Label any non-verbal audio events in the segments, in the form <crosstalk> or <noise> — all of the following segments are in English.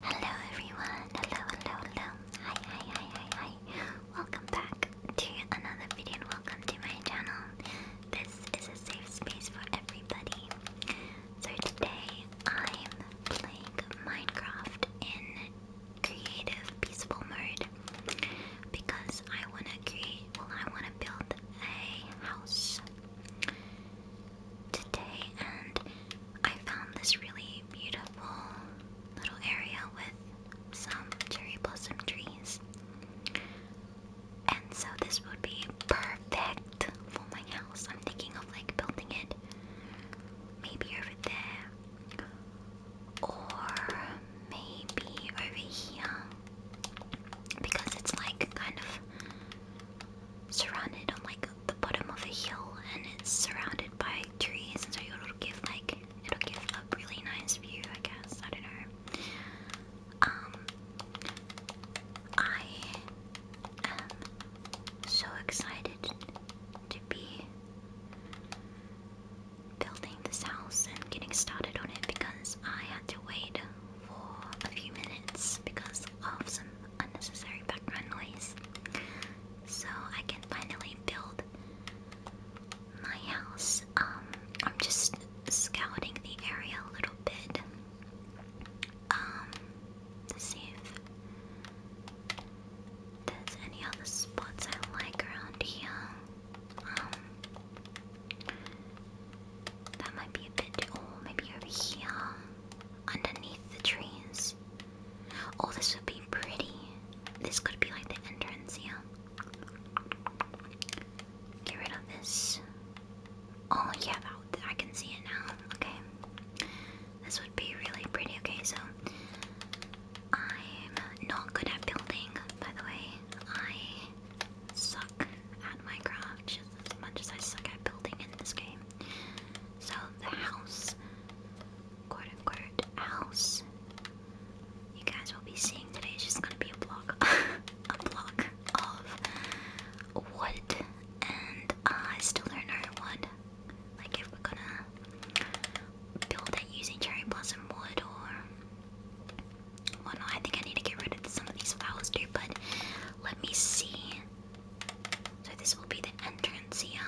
Hello everyone, hello, hello, hello, hi, hi, hi, hi, welcome back to another video and welcome to my channel. This is a safe space for everybody. So today I'm playing Minecraft in creative, peaceful mode because I want to create, well I want to build a house today and I found this really beautiful little area with some cherry blossom trees. And so this would be perfect for my house. I'm thinking of like building it maybe over there or maybe over here because it's like kind of surrounded on like the bottom of a hill and it's surrounded by trees and so it'll give like it'll give a really nice view I guess I don't know um I am so excited to be building this house and getting started on it because I had to wait for a few minutes because of some unnecessary background noise so I can finally build my house. Um, I'm just scouting the area a little bit. Um, to see if there's any other spots I like around here. Um, that might be a bit. Oh, maybe over here underneath the trees. Oh, this would be pretty. This could be like the entrance, yeah. Get rid of this. Oh, yeah, I can see it now. Okay. This would be really pretty. Okay, so I'm not good at building, by the way. I suck at my Minecraft just as much as I suck at building in this game. So the house quote unquote house you guys will be seeing today is just gonna be a block <laughs> a block of wood and I still don't know what like if we're gonna build it using cherry blossom wood or whatnot. I think I need to get rid of some of these flowers too, but let me see so this will be the entrance here.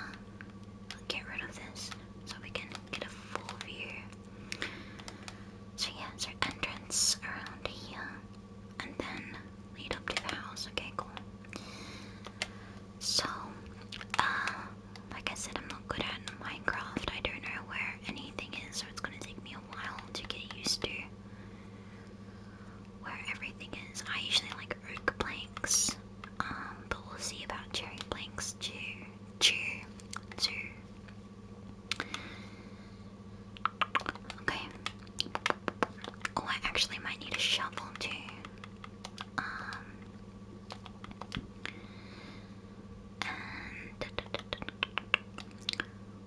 get rid of this so we can get a full view. So yeah, so entrance around here. And then lead up to the house. Okay, cool. So, uh, like I said, I'm not good at Minecraft. I don't know where anything is, so it's gonna take me a while to get used to where everything is. I usually like oak planks, um, but we'll see about cherry planks too. Too. Too. Okay. Oh, I actually might need a shovel too. Um.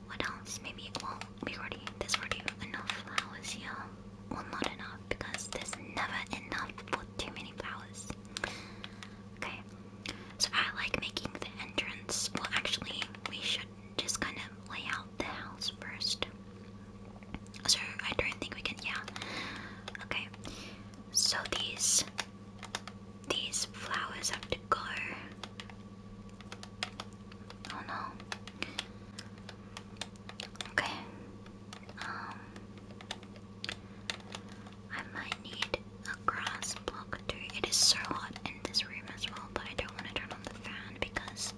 What else? Maybe. Well, we already. There's already enough flowers here well not enough because there's never enough for too many flowers. Okay, so I like making the entrance. Well, actually, we should just kind of lay out the house first. So I don't think we can. Yeah. Okay. So these these flowers have to go. Oh no. Okay. Um I might need a grass block too. It is so hot in this room as well, but I don't want to turn on the fan because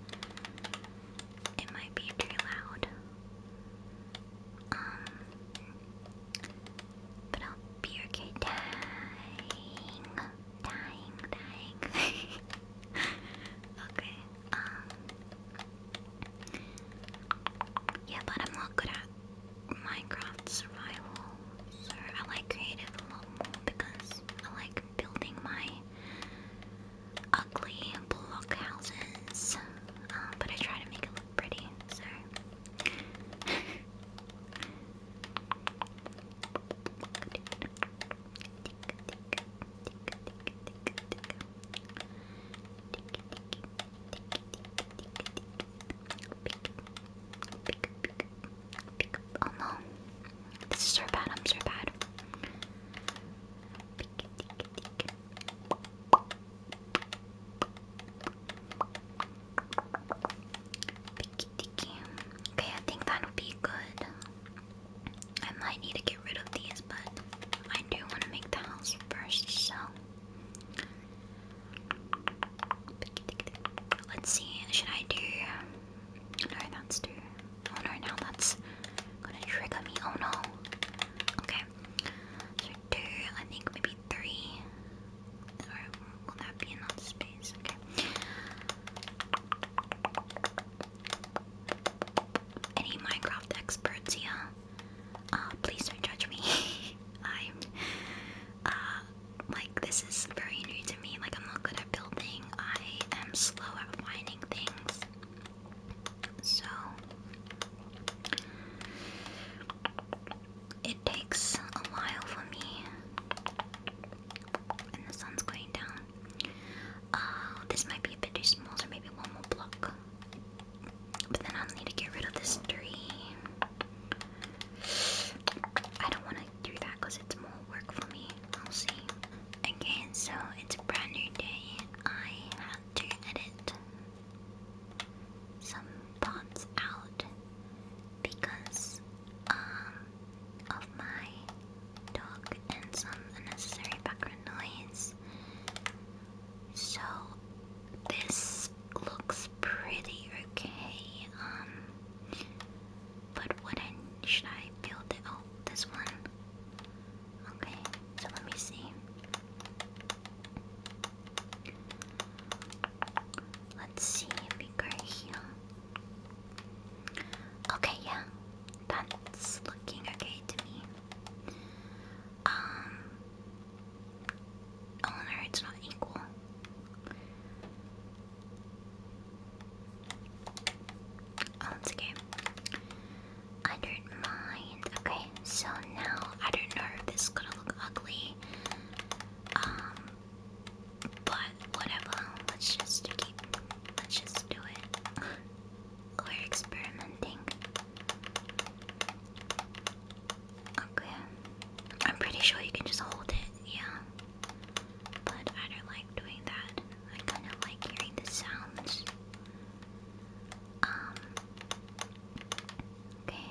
it might be too loud. Um but I'll be okay dying. Dying, dying. <laughs> okay yeah, but I'm not good at Minecraft survival, so I like creative a lot more because I like building my ugly block houses, but I try to make it look pretty, so. Oh no. This is so bad, I'm so bad. Okay, I think that'll be good. I need to get rid of these, but I do want to make the house first, so let's see. Should I do? No, that's too. Oh no, now that's gonna trigger me. Oh no. Okay. So two. I think maybe three. Or will that be enough space? Okay. Any Minecraft experts here? Uh, please don't judge me. <laughs> I'm, uh, like this is very new to me. Like I'm not good at building. I am slow at finding things. So it takes a while for me. And the sun's going down. Uh, this might be a bit too small, so maybe one more block. But then I'll need to get rid of this tree. I don't want to do that because it's more work for me. I'll see. Again, so it's a brand new day. I had to edit some parts out because um, of my dog and some unnecessary background noise. So this looks pretty okay. Um, but what I, should I build it? Oh, this one. Okay, so let me see. Let's see if here. Okay, yeah, that's looking okay to me. Um. All marriage not equal. Oh, it's okay. I don't mind. Okay, so now I don't know if this is gonna look ugly. Um, but whatever. Let's just keep. Let's just do it. <laughs> We're experimenting. Okay. I'm pretty sure you can just hold it, yeah. But I don't like doing that. I kind of like hearing the sounds. Um. Okay.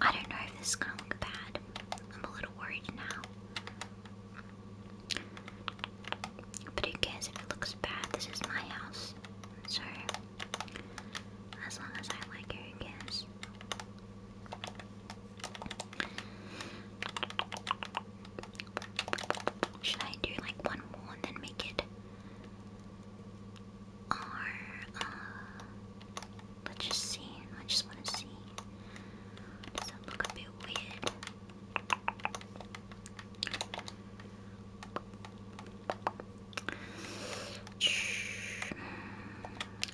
I don't know if this is gonna look bad. I'm a little worried now. But who cares if it looks bad? This is my house. So, as long as I like it, who cares? Should I do like one more and then make it? Or, uh, let's just see. I just want to see. Does that look a bit weird?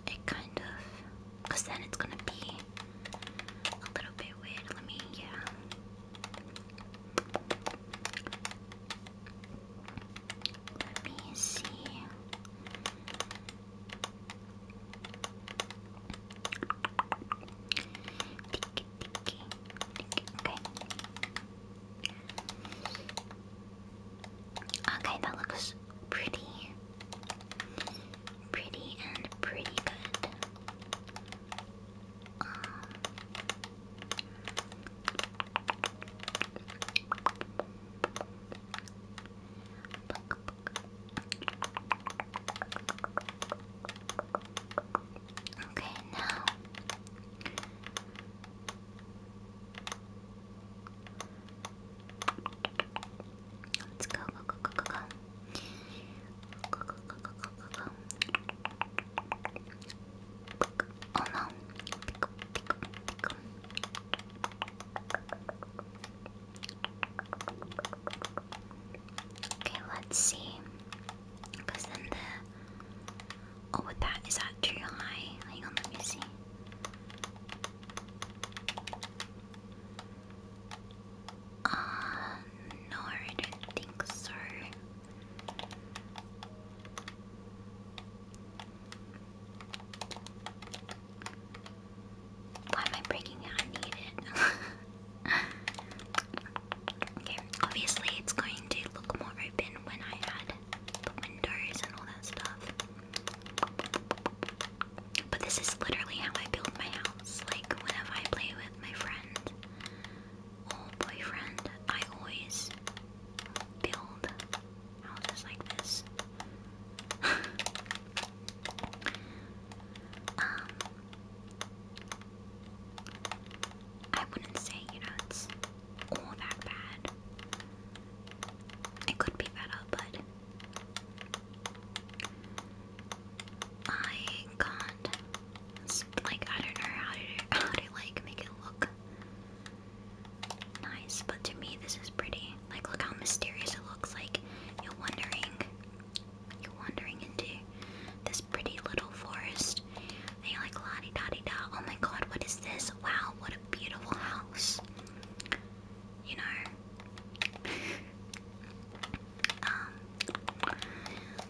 It kind of, cause then it's gonna be a little bit weird. Let me, yeah. Let me see. Tiki, tiki. Okay. Okay, that looks pretty. Pretty and pretty good. Um, Okay, now let's go, go, go, go, go, go. Go, go, go, go, go, go, go. Oh no. Pick up, pick up, pick up. Okay, let's see. Because then the. Oh, with that, is that too high? Hang on, let me see. Uh, no, I don't think so. Why am I breaking it? I need it. <laughs> Okay, obviously it's going to look more open when I add windows and all that stuff. But this is literally how I build my house. Like, whenever I play with my friend or boyfriend, I always build houses like this. <laughs> Um, I wouldn't say, you know, it's all that bad. It could be better, but I can't. Like, I don't know how to how to like make it look nice, but to me, this is pretty. Like, look how mysterious it looks. Like, you're wondering you're wandering into this pretty little forest, and you're like, la di da di da. Oh my god, what is this? Wow, what a beautiful house. You know. <laughs> Um,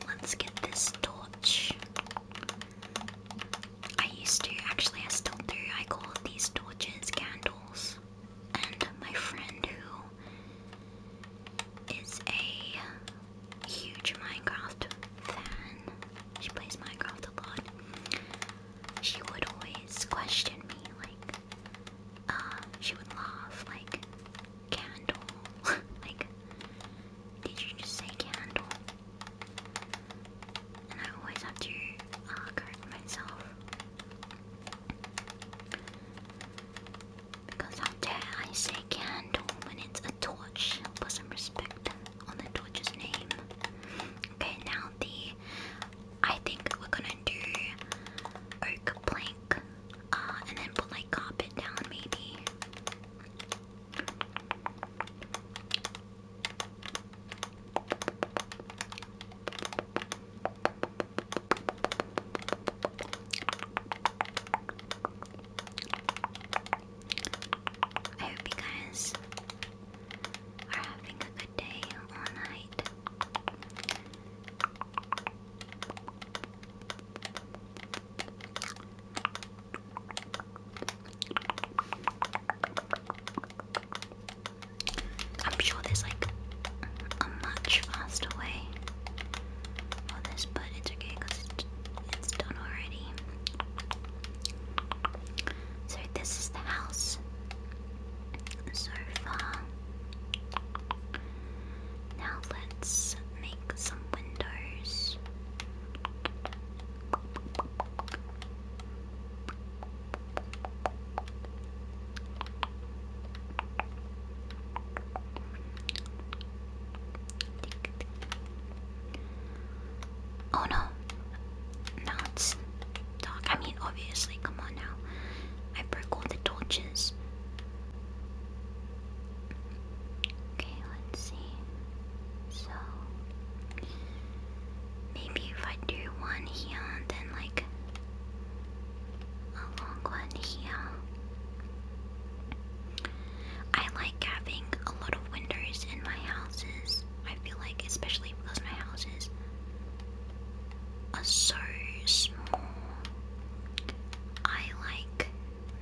let's get this torch. I used to, actually, I still do. I call these torches candles. And my friend who is a huge Minecraft fan. She plays Minecraft a lot. She would always question me, like, um, she would laugh, like, candle. <laughs> like, did you just say candle? And I always have to uh, correct myself. Because out there I say candle when it's a torch. Put some respect on the torch's name. Okay, now the I think we're gonna do oak plank, uh, and then put like carpet down maybe. I hope you guys are having a good day or night. I'm sure there's like a much faster way all this, but it's okay because it's, done already. So this is the house so Now let's make some windows. Oh no. No, it's dark. I mean, obviously, come on now. I broke all the torches. Okay, let's see. So, maybe if I do one here, then like a long one here. I like having a lot of windows in my houses. I feel like, especially because my houses are so small, I like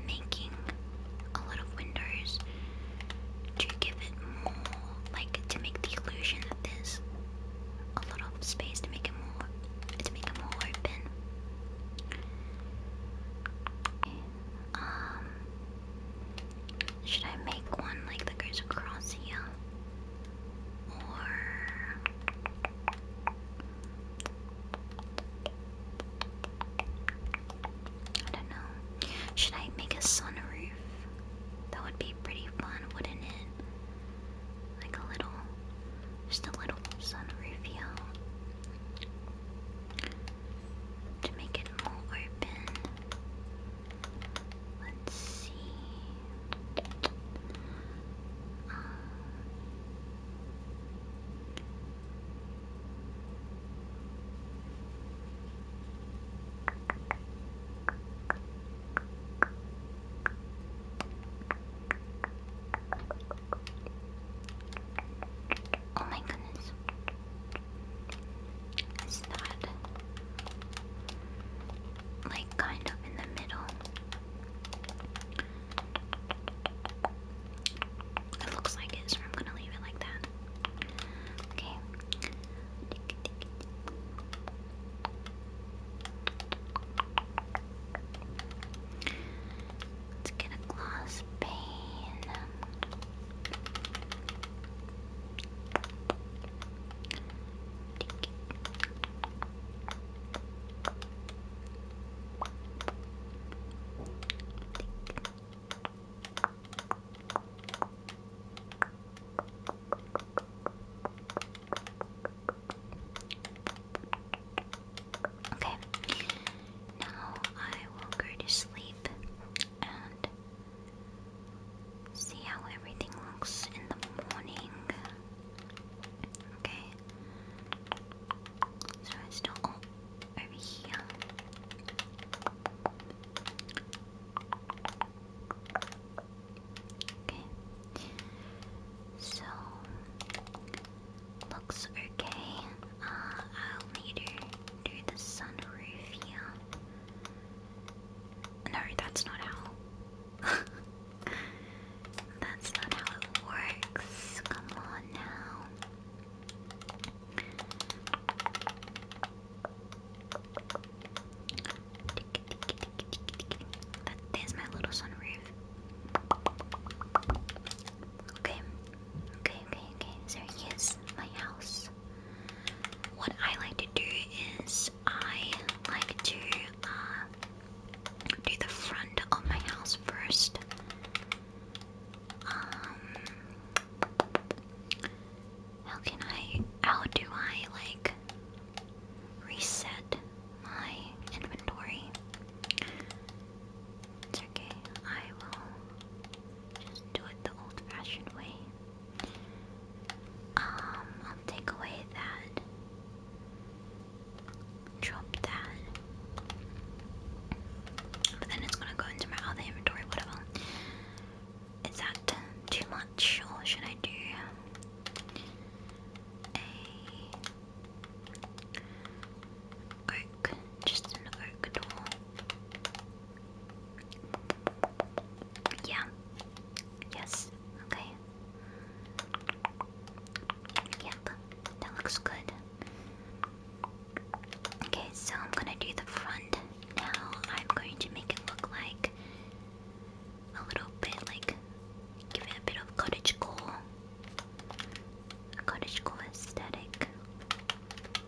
making a lot of windows to give it more, like to make the illusion that there's a lot of space to make it more, to make it more open. Um, should I make one like the goes across here? Or I don't know. Should I make a sunroof? That would be pretty fun, wouldn't it? Like a little, just a little sunroof here to make it more open. Let's see. Oh my goodness. It's not like kind of in the middle. It looks like it, so I'm gonna leave it like that. Okay. Let's get a glass pane. Okay, now I will go to sleep and see how everything looks in the morning. Okay. So it's still over here. Okay. So Looks okay. Uh, I'll need to do the sunroof here. No, that's not how. <laughs> that's not how it works. Come on now. That, my little sunroof. Okay, Okay, okay, okay. So here's my house. What I like to do is I like to uh, do the front of my house first. Um, how can I? How do I like reset my inventory? okay. I will just do it the old-fashioned way. Um, I'll take away that. Drop that. But then it's gonna go into my other inventory, whatever. Is that too much, or should I do a oak, just an oak door. Yeah. Yes. Okay. Yep. That looks good. Okay, so I'm gonna do the front now. I'm going to make it look like a little bit like give it a bit of cottage core. cottage core aesthetic.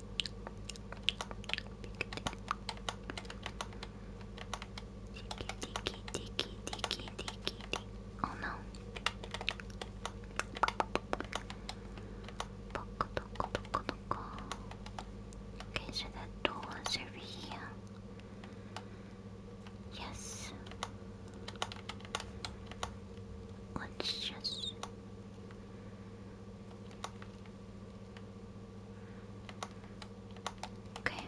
Dicky, dicky, dicky, dicky, dicky. Oh no. Okay, so that door is over here. Yes. Let's Okay.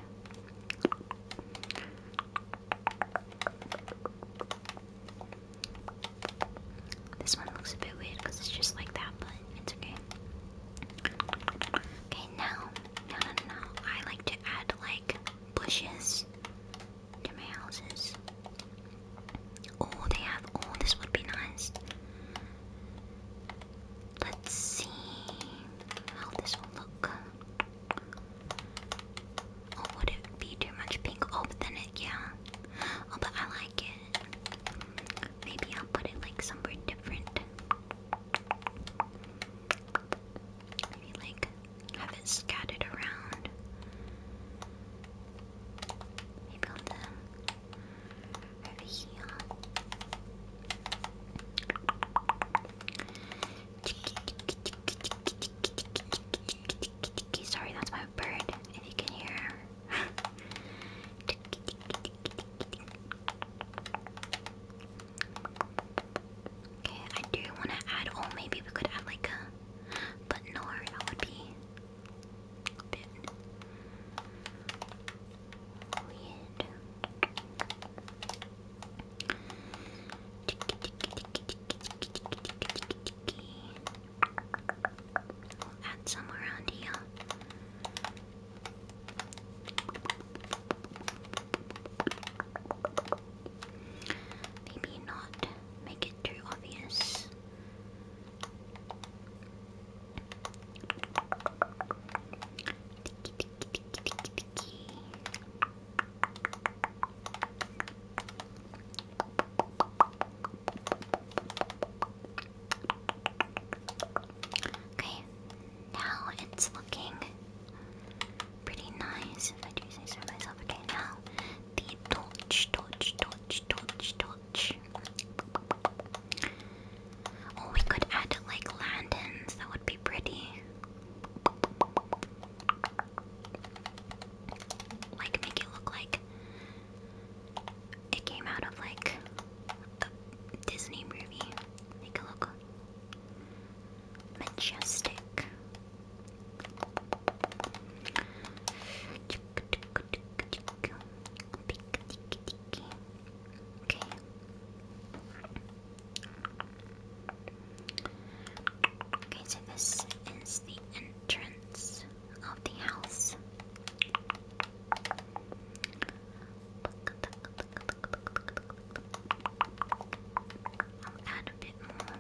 This one looks a bit weird because it's just like that, but it's okay. Okay, now, no, no, I like to add like bushes to my houses. Oh, they have. Oh, this would be nice. Let's see how this will look. Oh, would it be too much pink? Oh, then it, yeah. Oh, but I like it. Maybe I'll put it like somewhere different. Maybe like have it scattered around. Maybe on the um, over here. Sorry, that's my bird. If you can hear <laughs> Okay, I do want to add. Oh, maybe we could add like a button that would be add some around here. Maybe not make it too obvious. Okay, now it's looking pretty nice if I do say so myself. Okay, now the touch, touch, touch, touch, touch. Oh, we could add like landings. That would be pretty. Like make it look like it came out of like a Disney movie. Make it look majestic. Okay. Okay, so this is the entrance of the house. add a bit more.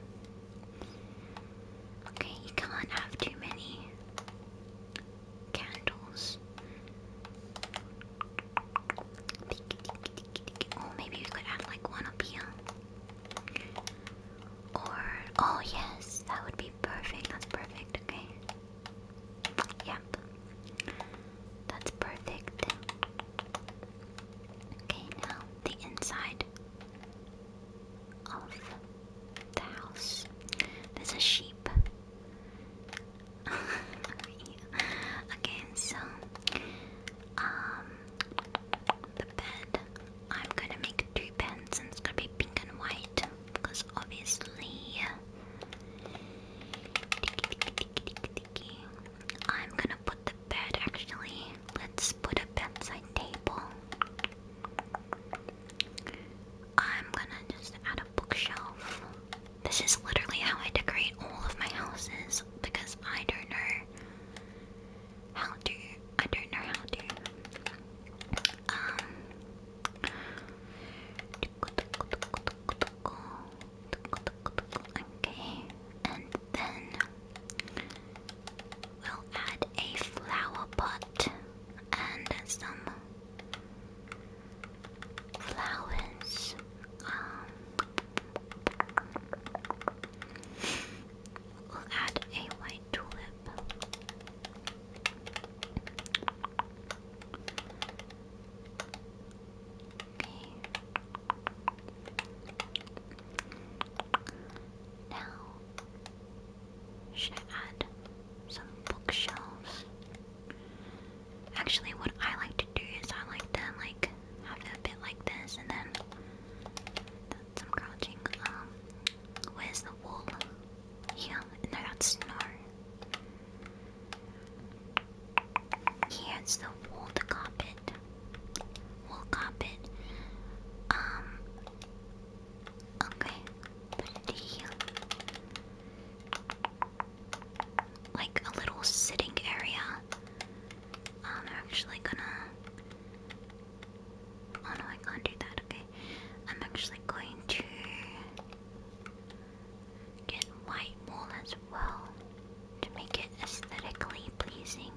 Okay, you can't have too many candles. Oh, maybe we could add like one up here. Or, oh yes, that would be perfect. That's perfect, okay? Yep. That's perfect. Okay, now the inside of the house. There's a sheep. <laughs> okay, so um the bed. I'm gonna make two beds and it's gonna be pink and white because obviously I'm gonna put the bed actually. Let's put a bedside table. I'm gonna just add a bookshelf. This is literally how I decorate all of my houses because I don't know how to. I don't know how to. Um. Okay, and then we'll add a flower pot and some Flowers. Um, we'll add a white tulip. Okay. Now should add some bookshelves. Actually, what I like to do is I like to like have a bit like this, and then some crouching. Um, where's the wool? Here, no, that's snow. Here's the wool, the carpet, wool carpet. Um, Okay, Like a little sitting area. Oh, I'm actually gonna. Oh no, I can't do that, okay. I'm actually going to get white wool as well to make it aesthetically pleasing.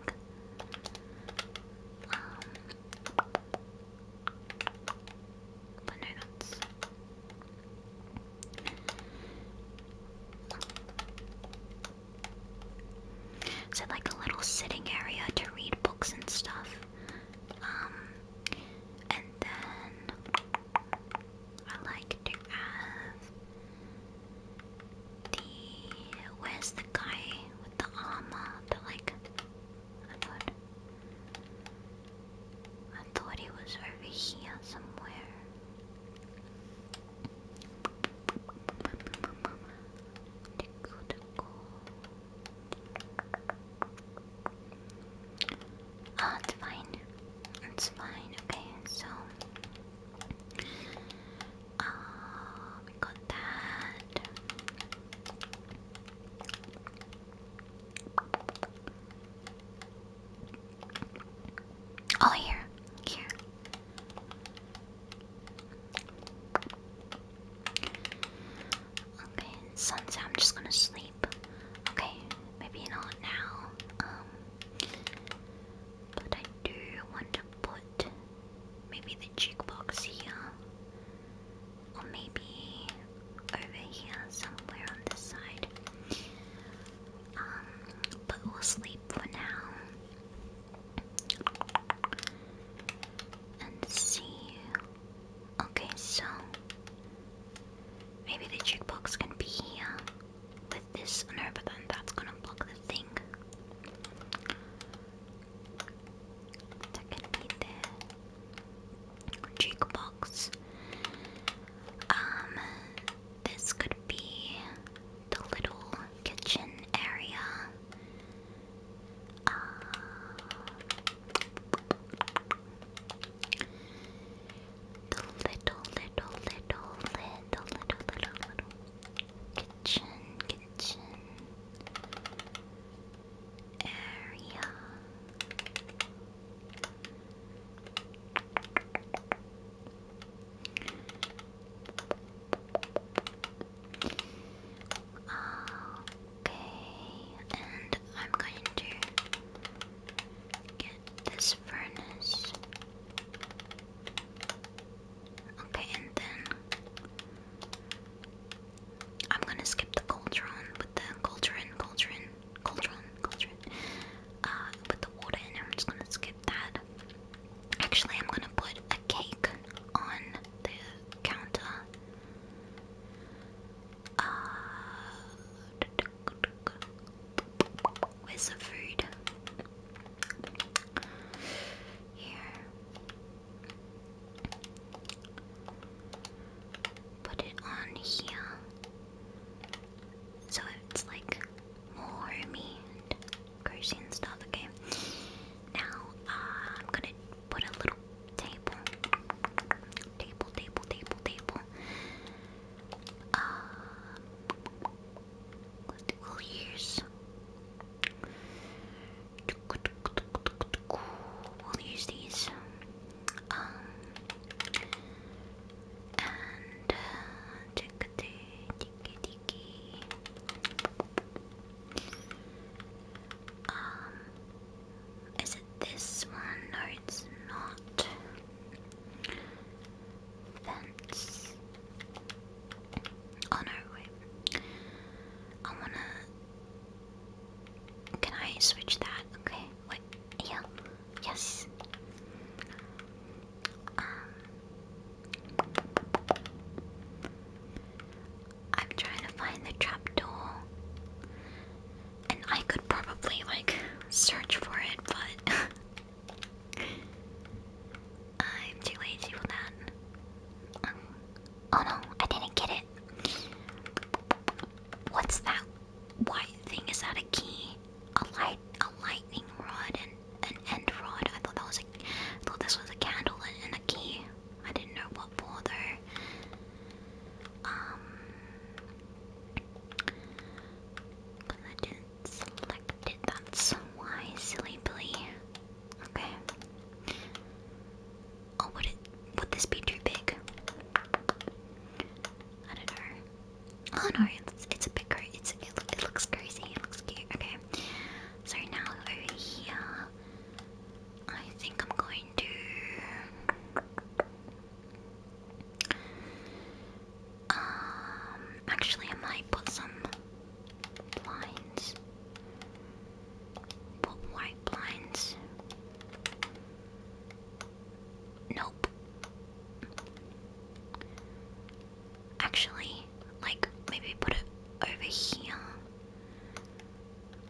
Um, but no, that's. So, like a little sitting area to read books and stuff. Um, and then I like to have the. Where's the guy with the armor? The like I thought. I thought it was over here somewhere. Tickle, tickle. Oh, it's fine. It's fine. Okay, so uh, we got that. Oh, here, here. Okay, sunset. I'm just gonna sleep. Okay, maybe not now. Um, but I do want to put maybe the jig box here. Or maybe over here somewhere on this side. Um, but we'll sleep for now. And see. Okay, so maybe the jukebox can be here with this. No, but then that's gonna block the thing. That can be there jukebox. Um, this could be the little kitchen area. Uh, the little, little, little, little, little, little, little kitchen, kitchen area. Okay, and I'm going to get this furnace. Okay, and then I'm gonna skip the cauldron with the cauldron, cauldron, cauldron, cauldron. Uh, with the water in it, I'm just gonna skip that. Actually, I'm gonna put a cake on the counter. Uh, where's the food? Here. Put it on here. So it's like more meat and crazy and stuff, okay? Now, uh, I'm gonna put a little table. Table, table, table, table. Uh, we'll use. We'll use these. Um, and tick tick ticky. Um, is it this one? No, it's not. Fence. Oh no, wait. I wanna. Can I switch that? Okay, wait. Yeah. Yes. Um, I'm trying to find the trapdoor. And I could probably like search for it, but <laughs> I'm too lazy for that. Um, oh no, I didn't get it. What's that white thing is that a key? A light, a lightning rod, and an end rod. I thought that was thought this was a candle and, a key. I didn't know what for though. Um, I didn't select it. That's why, silly Billy. Okay. Oh, would it? Would this be too big? I don't know. Oh no, it's, it's a bit It's it, it looks crazy. It looks cute. Okay. So now over here, I think I'm going to. Um. Actually, I might put some blinds. Put white blinds. Nope. Actually, like maybe put it over here.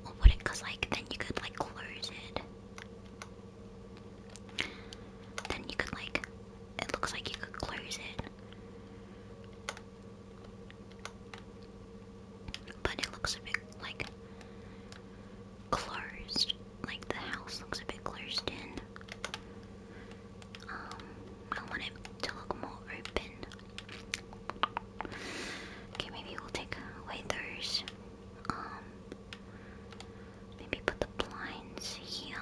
Or put it like then you could like close it. Then you could like it looks like you could close it. But it looks a bit like closed. Like the house looks a bit closed in. Um, I want it to look more open. Okay, maybe we'll take away those. Um, maybe put the blinds here.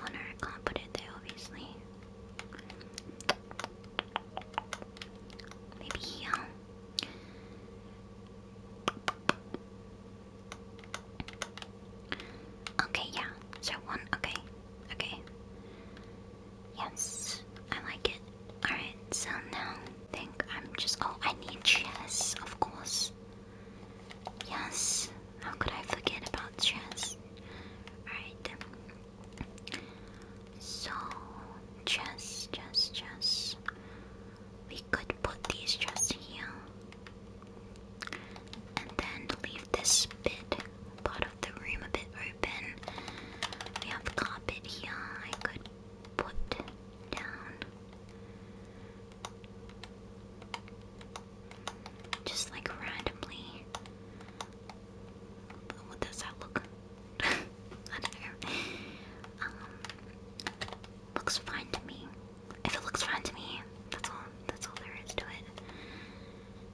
Oh can't put it there, obviously. Maybe here. Okay, yeah. So one, okay. Okay. Yes, I like it. Alright, so now think I'm just. Oh, I need chess, of course. Yes, how could I forget about chess? Alright. So just, just, just. We could put these just here. And then leave this bit part of the room a bit open. We have carpet here I could put down. Just like randomly. What does that look? Whatever. Um, looks fine to me. If it looks fine to me, that's all. That's all there is to it.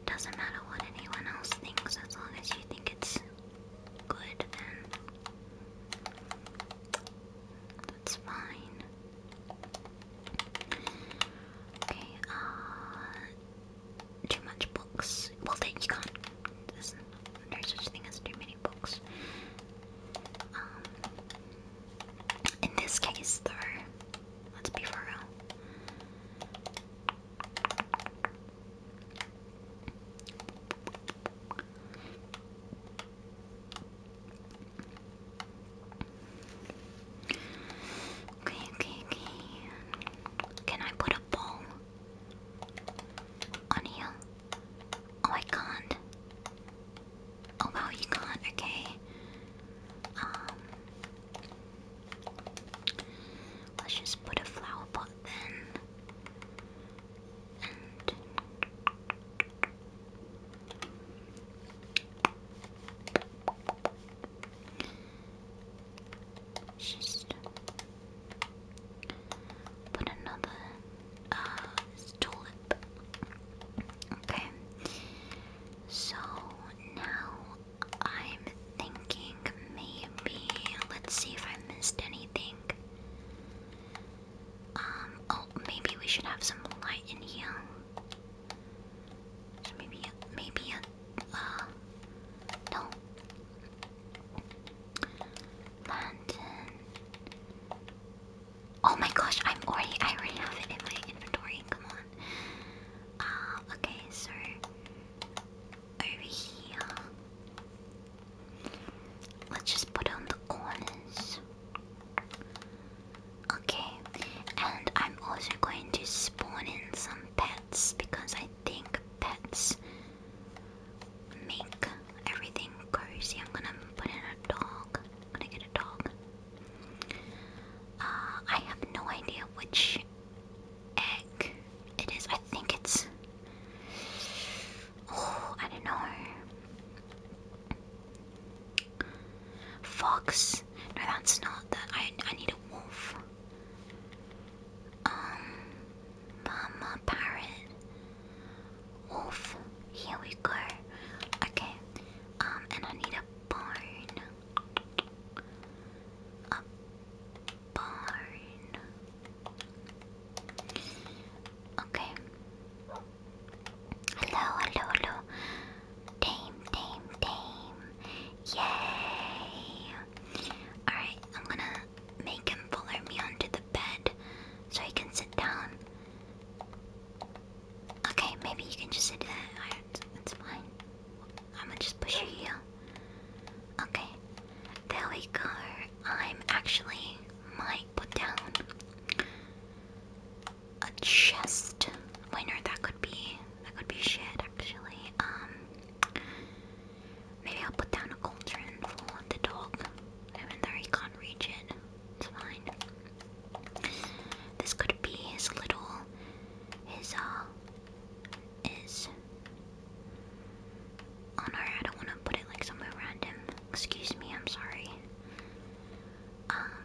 Doesn't matter what anyone else thinks, as long as you think it's good, then that's fine. Okay, uh, too much books. Well, then you can't no such thing as too many books. Um, in this case, though, let's be for Okay, okay, okay. Can I put a bowl on here? Oh, I can't. Oh wow, you can't. Okay. Um, let's just put a flower pot then. just Put another uh, tulip. Okay. So now I'm thinking maybe let's see if I missed anything. Um. Oh, maybe we should have some light in here. maybe, maybe a, uh, no, Mountain. Oh my gosh, I'm already I already have it in my inventory. Come on. Uh, okay, so over here. Let's just put on the corners. Okay, and I'm also going to spawn in some pets because I think pets make everything cozy. I'm gonna put in a dog. I'm gonna get a dog. Uh, I have no idea which egg it is. I think it's. Oh, I don't know. Fox. No, that's not that. I, I need a wolf. Um. Mama parrot. Wolf. Here we go. Okay. Um, and I need a barn. A barn. Okay. Hello, hello, hello. Dame, dame, dame. Yay. Alright, I'm gonna make him follow me onto the bed so he can sit down. Okay, maybe you can just sit there. That's fine. I'm gonna just push you here. Okay, there we go. I'm actually might put down a chest. winner. that could be that could be shit actually. Um, Maybe I'll put down a cauldron for the dog, even though he can't reach it. It's fine. This could be his little, his uh, his. Oh no, I don't want to put it like somewhere random. Excuse me, I'm sorry. Um,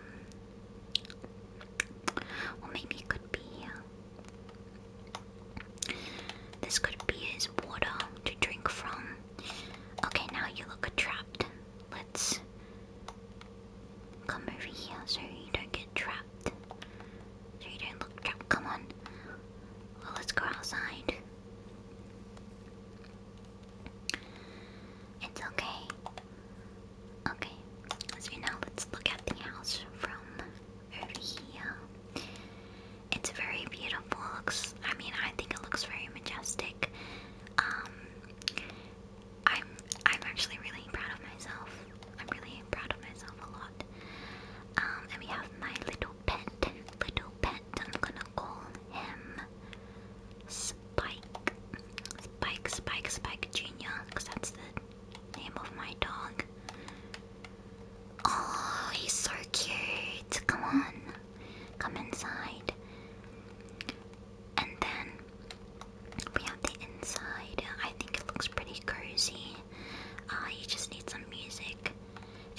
well maybe it could be. Uh, this could be his water to drink from. Okay, now you look trapped. Let's come over here so you don't get trapped. So you don't look trapped. Come on. Well, let's go outside. It's okay. Okay, so now let's look at the house from over here. It's very beautiful. looks, I mean, I think it looks very majestic. Um, I'm, I'm actually really proud of myself. I'm really proud of myself a lot. Um, and we have my little pet, little pet. I'm gonna Spike, Spike, Spike, Spike Junior, because that's the name of my dog. Oh, he's so cute. Come on come inside. And then we have the inside. I think it looks pretty cozy. Uh, you just need some music.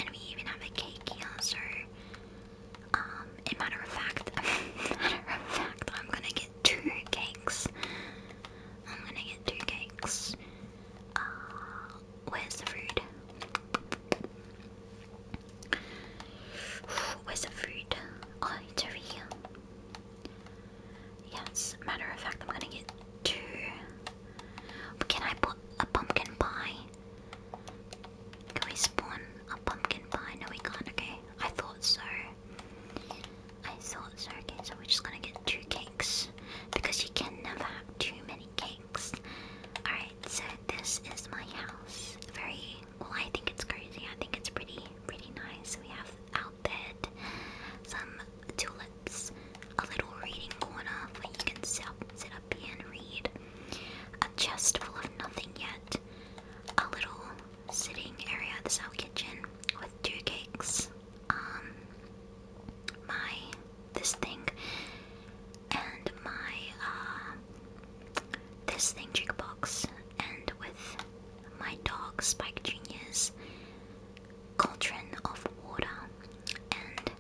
And we even have a cake kiosk. Or, um, in matter of fact, <laughs> matter of fact, I'm gonna get two cakes. I'm gonna get two cakes. Uh, where's the food? Where's <sighs> the food? Oh, it's over here. Yes, matter of fact, I'm gonna get two. Can I put a pumpkin pie? Can we spawn a pumpkin pie? No, we can't. Okay, I thought so. I thought so. Okay, so we're just gonna get two cakes because you can never have too many cakes. Alright, so this is my house. Very well I think it's crazy. I think it's pretty pretty nice. We have outbed, some tulips, a little reading corner where you can sit up here and read. A chest full of nothing yet. A little sitting area, this is our kitchen with two cakes. Um my this thing and my uh, this thing jukebox, and with my dog Spike Junior's cauldron of water and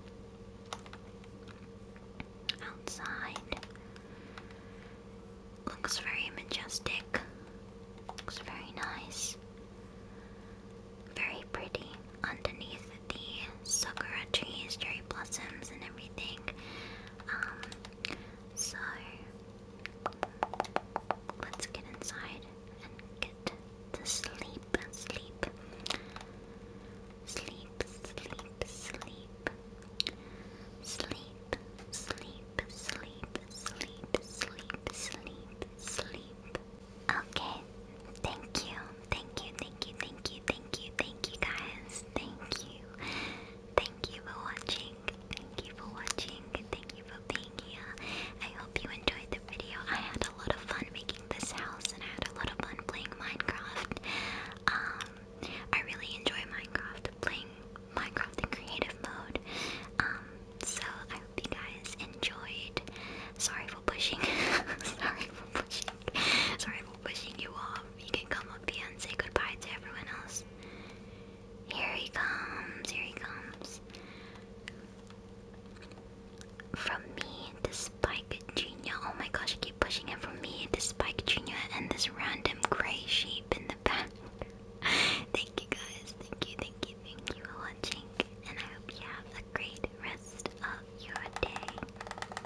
outside looks very majestic looks very nice very pretty underneath the sakura trees, cherry blossoms, and everything. Um, so let's get inside and get to sleep, sleep, sleep, sleep, sleep, sleep, sleep, sleep, sleep, sleep, sleep, sleep. Okay, thank you. Thank you, thank you, thank you, thank you, thank you guys. Thank you. Thank you for watching. Thank you for watching. Thank you for being here. I hope you enjoyed the video. I had a lot of fun making this house and I had a lot of fun playing Minecraft. Um I really enjoy Minecraft playing Minecraft in creative mode. Um, so I hope you guys enjoyed. Sorry for pushing. <laughs> Sorry for pushing. Sorry for pushing you off you can come up here and say goodbye to everyone else. Here he comes, here he comes. From me to Spike Jr. Oh my gosh, I keep pushing it from me to Spike Jr. and this random grey shape in the back. <laughs> thank you guys, thank you, thank you, thank you for watching. And I hope you have a great rest of your day.